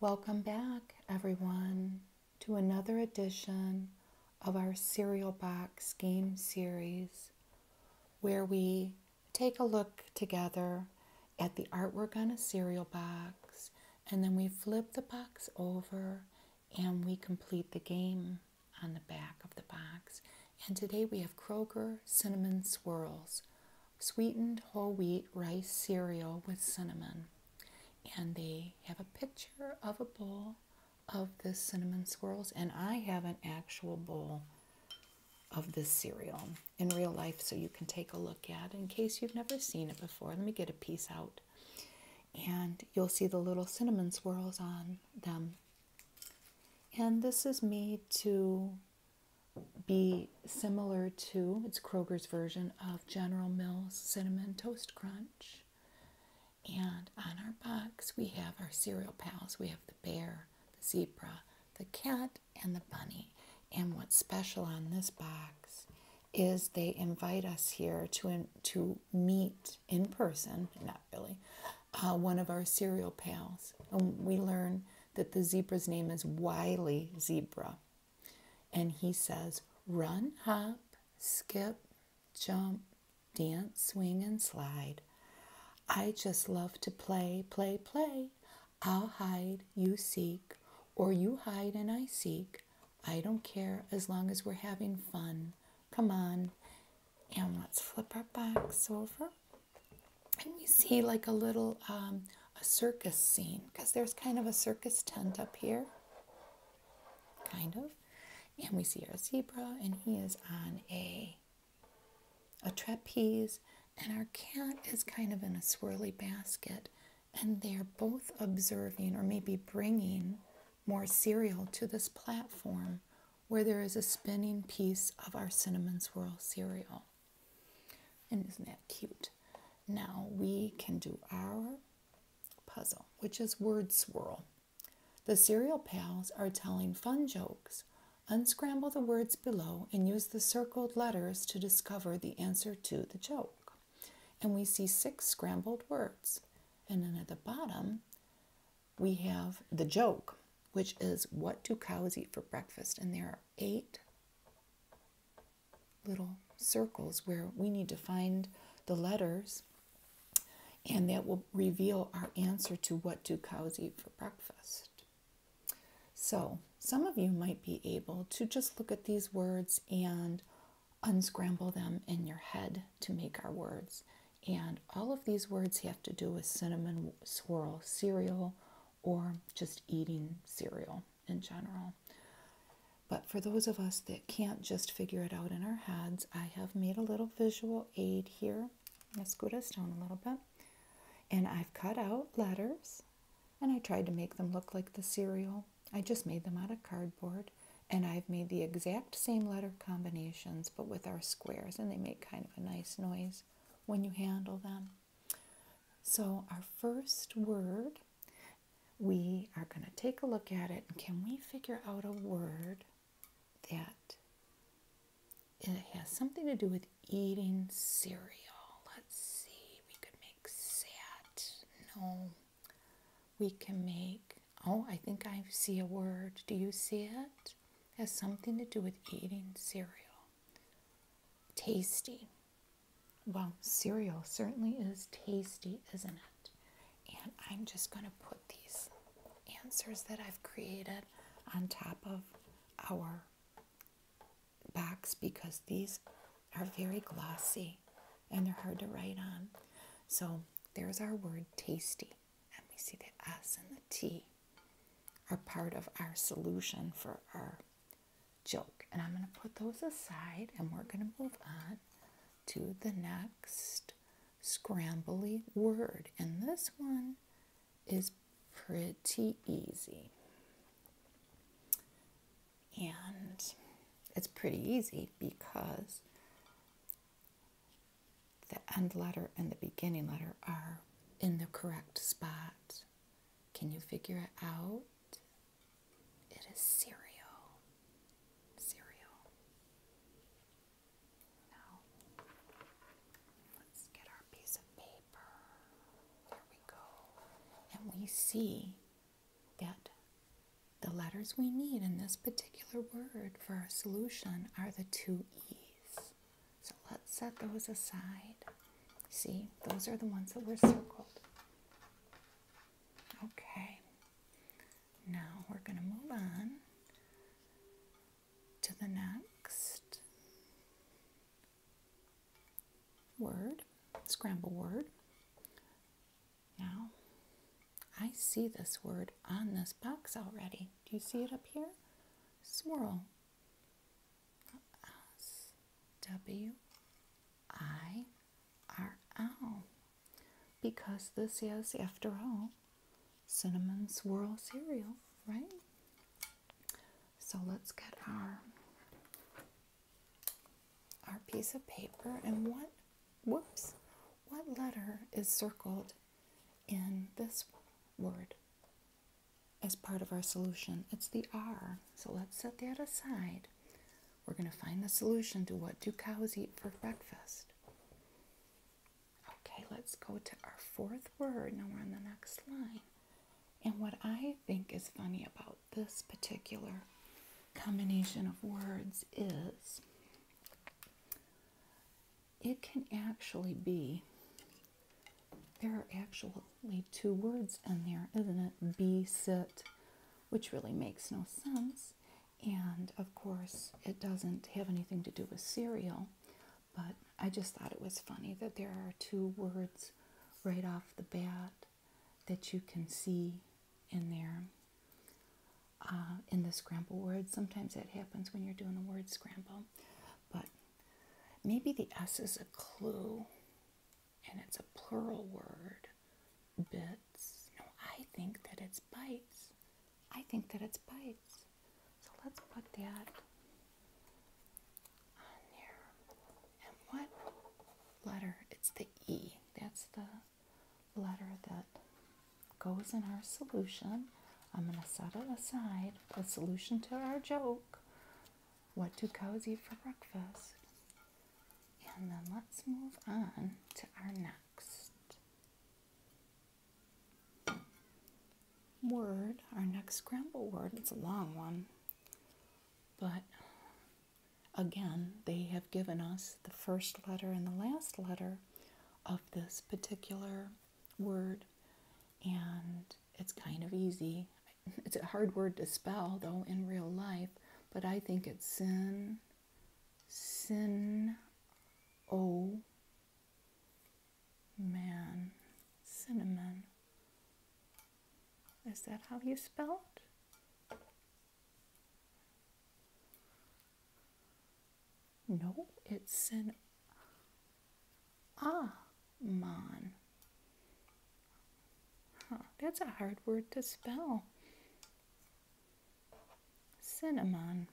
Welcome back, everyone, to another edition of our Cereal Box game series where we take a look together at the artwork on a cereal box and then we flip the box over and we complete the game on the back of the box. And today we have Kroger Cinnamon Swirls, sweetened whole wheat rice cereal with cinnamon. And they have a picture of a bowl of the cinnamon swirls. And I have an actual bowl of this cereal in real life so you can take a look at in case you've never seen it before. Let me get a piece out. And you'll see the little cinnamon swirls on them. And this is me too be similar to it's Kroger's version of General Mills Cinnamon Toast Crunch. And on our box, we have our cereal pals. We have the bear, the zebra, the cat, and the bunny. And what's special on this box is they invite us here to, to meet in person, not really, uh, one of our cereal pals. And we learn that the zebra's name is Wiley Zebra. And he says, run, hop, skip, jump, dance, swing, and slide. I just love to play, play, play. I'll hide, you seek, or you hide and I seek. I don't care as long as we're having fun. Come on. And let's flip our backs over. And we see like a little um, a circus scene because there's kind of a circus tent up here, kind of. And we see our zebra, and he is on a a trapeze, and our cat is kind of in a swirly basket, and they're both observing or maybe bringing more cereal to this platform where there is a spinning piece of our cinnamon swirl cereal. And isn't that cute? Now we can do our puzzle, which is word swirl. The cereal pals are telling fun jokes. Unscramble the words below and use the circled letters to discover the answer to the joke. And we see six scrambled words. And then at the bottom, we have the joke, which is what do cows eat for breakfast? And there are eight little circles where we need to find the letters and that will reveal our answer to what do cows eat for breakfast. So, some of you might be able to just look at these words and unscramble them in your head to make our words. And all of these words have to do with cinnamon swirl cereal or just eating cereal in general. But for those of us that can't just figure it out in our heads, I have made a little visual aid here. Let's go this down a little bit. And I've cut out letters and I tried to make them look like the cereal. I just made them out of cardboard and I've made the exact same letter combinations but with our squares and they make kind of a nice noise when you handle them. So, our first word, we are going to take a look at it. And can we figure out a word that it has something to do with eating cereal? Let's see. We could make sad. No. We can make, oh, I think I see a word. Do you see it? It has something to do with eating cereal. Tasty. Well, cereal certainly is tasty, isn't it? And I'm just going to put these answers that I've created on top of our backs because these are very glossy and they're hard to write on. So there's our word tasty, and we see that S and the T are part of our solution for our joke. And I'm going to put those aside and we're going to move on to the next scrambly word. And this one is pretty easy. And it's pretty easy because the end letter and the beginning letter are in the correct spot. Can you figure it out? It is cereal. Cereal. Now, let's get our piece of paper. There we go. And we see that the letters we need in this particular word for our solution are the two E's. So let's set those aside. See, those are the ones that were circled. Okay, now we're going to move on to the next word, scramble word. Now, I see this word on this box already. Do you see it up here? Swirl. S W I R L because this is, after all, cinnamon swirl cereal, right? So let's get our our piece of paper and what whoops what letter is circled in this word as part of our solution? It's the R. So let's set that aside we're going to find the solution to what do cows eat for breakfast. Okay, let's go to our fourth word. Now we're on the next line. And what I think is funny about this particular combination of words is it can actually be there are actual only two words in there, isn't it? Be sit, which really makes no sense. And of course, it doesn't have anything to do with cereal, but I just thought it was funny that there are two words right off the bat that you can see in there uh, in the scramble word. Sometimes that happens when you're doing a word scramble, but maybe the S is a clue and it's a plural word, bits. No, I think that it's bites. I think that it's bites. So let's put that on there. And what letter? It's the E. That's the letter that goes in our solution. I'm going to set it aside, The solution to our joke what do cozy eat for breakfast? And then let's move on to our next word, our next scramble word. It's a long one, but again, they have given us the first letter and the last letter of this particular word, and it's kind of easy it's a hard word to spell though in real life, but I think it's sin, sin, o, man, cinnamon. Is that how you spell it? No, it's sin, ah man that's a hard word to spell. Cinnamon.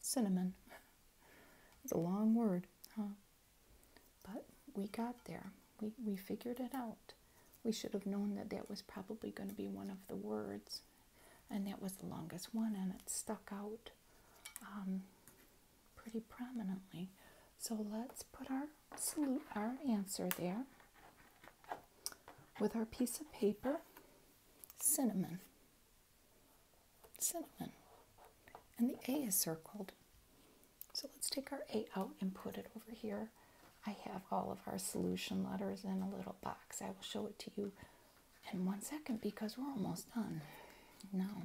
Cinnamon. It's a long word, huh? But we got there. We, we figured it out. We should have known that that was probably going to be one of the words. And that was the longest one, and it stuck out um, pretty prominently. So let's put our salute our answer there with our piece of paper cinnamon. Cinnamon. And the A is circled. So let's take our A out and put it over here. I have all of our solution letters in a little box. I will show it to you in one second because we're almost done. Now,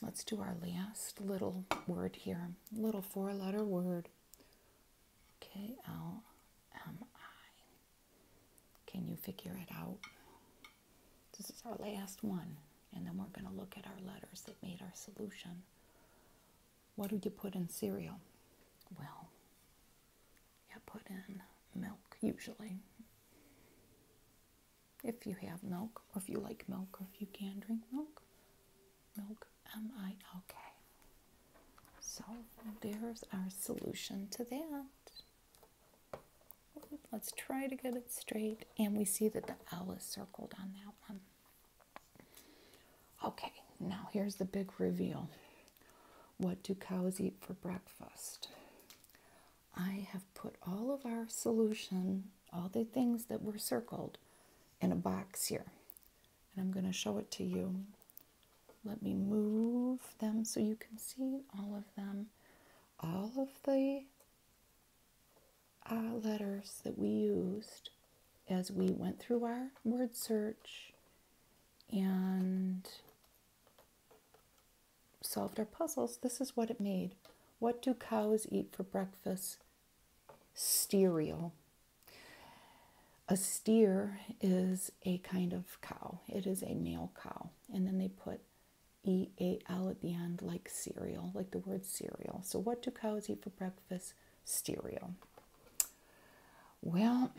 let's do our last little word here, little four letter word. K L M I. Can you figure it out? This is our last one, and then we're going to look at our letters that made our solution. What do you put in cereal? Well, you put in milk usually. If you have milk, or if you like milk, or if you can drink milk, milk am So there's our solution to that. Let's try to get it straight. And we see that the L is circled on that one. Okay, now here's the big reveal. What do cows eat for breakfast? I have put all of our solution, all the things that were circled, in a box here. And I'm going to show it to you. Let me move them so you can see all of them. All of the uh, letters that we used as we went through our word search and solved our puzzles, this is what it made. What do cows eat for breakfast? sterile. A steer is a kind of cow, it is a male cow. And then they put E A L at the end, like cereal, like the word cereal. So, what do cows eat for breakfast? Cereal. Well,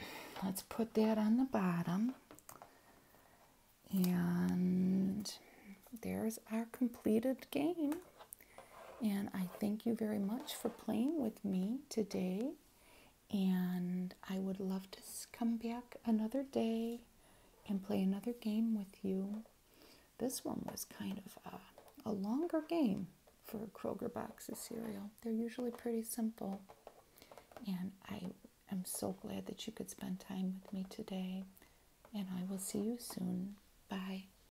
let's put that on the bottom. And there's our completed game. And I thank you very much for playing with me today. And I would love to come back another day and play another game with you. This one was kind of a, longer game for Kroger box of cereal. They're usually pretty simple. And I am so glad that you could spend time with me today. And I will see you soon. Bye.